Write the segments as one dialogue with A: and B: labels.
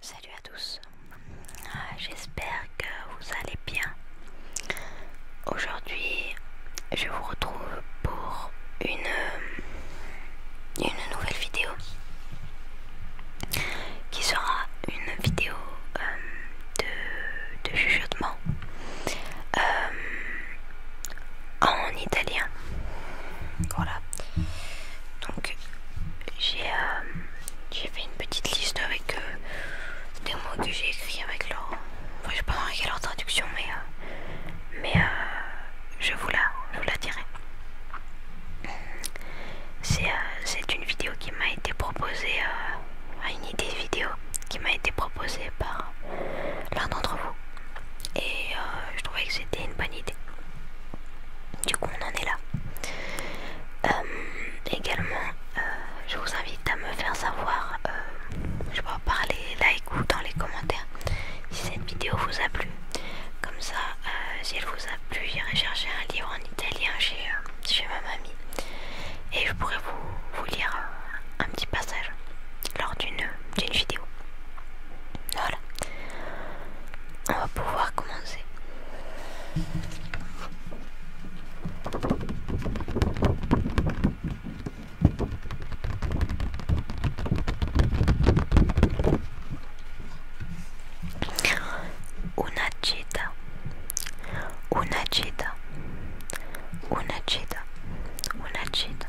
A: Salut à tous, ah, j'espère que vous allez bien. Aujourd'hui, je vous retrouve pour une, nouvelle vidéo qui sera une vidéo euh, de, de euh, en italien. Voilà. Donc euh, j'ai fait une petite liste avec euh, des mots que j'ai écrits avec leur... Enfin, je pas quelle leur traduction, mais, euh, mais je, vous la, dirai. C'est une vidéo qui m'a été proposée, une idée vidéo qui m'a été proposée par l'un d'entre vous. Et je trouvais que c'était une bonne idée. Du coup, on en est là. Euh, également, euh, je vous invite à me faire savoir, euh, je sais parler par les likes ou dans les commentaires, si cette vidéo vous a plu. Comme ça, si elle vous a plu, j'irai chercher un livre en italien chez, ma mamie et je pourrai vous, lire un petit passage lors d'une vidéo. Voilà. On va pouvoir commencer. Une chita, une chita, une chita, une chita.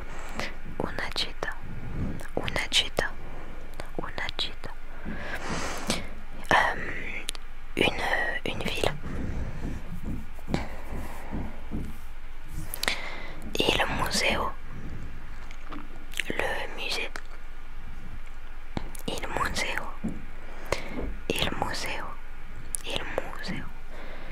A: Un chita, un chita, un chita. Euh, une, une ville. Et le museo. Le musée. Il museo. Il museo. Il museo.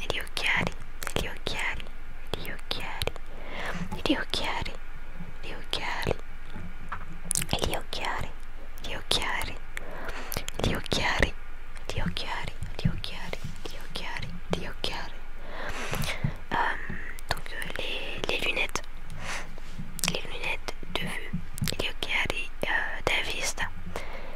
A: e gli occhiali, e gli occhiali, e gli occhiali, e gli occhiali, e gli occhiali, e gli occhiali, e gli occhiali, e gli occhiali, e gli occhiali, e gli occhiali, e gli occhiali, e gli occhiali. Um, donc euh, les, les lunettes, les lunettes de vue, gli occhiali euh, da vista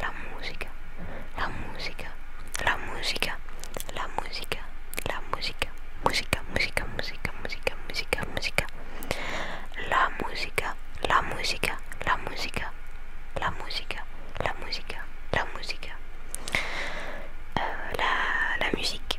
A: la música, la música, la música, la música, la música, música, música, música, música, música, música, la música, la música, la música, la música, la música, la música, eh, la, la musique.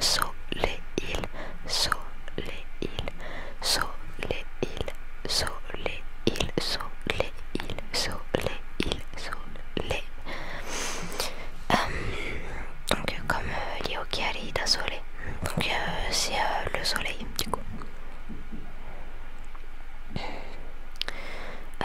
A: soleil, soleil, soleil, soleil, soleil, soleil, soleil. Euh, donc comme euh, lié au chiari da soleil Donc euh, c'est euh, le soleil du coup. Euh,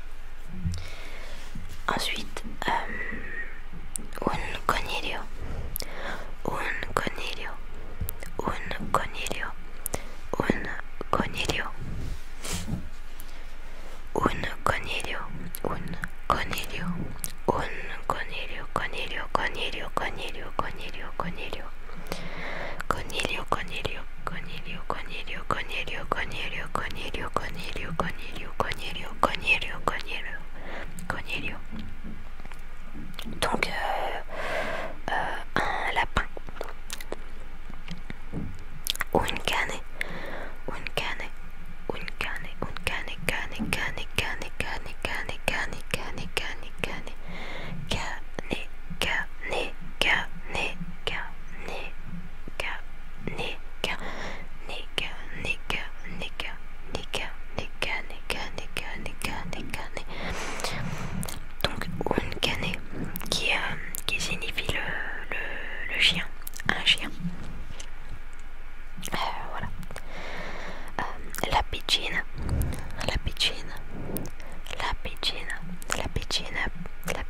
A: Ensuite, euh, un conilio, un conilio, un conilio, un conilio, un conilio, un conilio, un conilio, coniglio, conilio, coniglio, conilio, coniglio, coniglio, coniglio, conilio. Cornelio, Donc, un lapin. une canne. une canne. Ou une canne. Une canne, donc Unkane qui, qui signifie le, chien, un chien. Euh, voilà. la pigeon, la pigeon, la pigeon, la pigeon,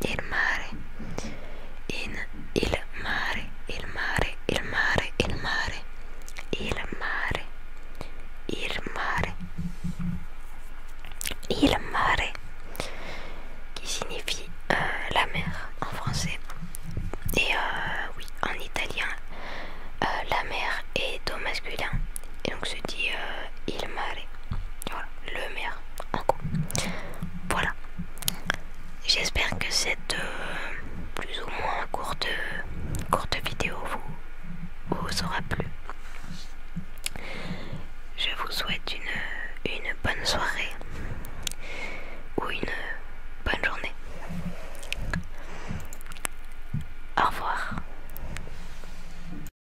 A: il mare, il mare, il mare, il mare, il mare, il mare, il mare, qui signifie euh, la mer en français. Et euh, oui, en italien, euh, la mer est au masculin. Et donc se dit il mare. le mer voilà j'espère que cette euh, plus ou moins courte courte vidéo vous, vous aura plu je vous souhaite une, une bonne soirée ou une bonne journée au revoir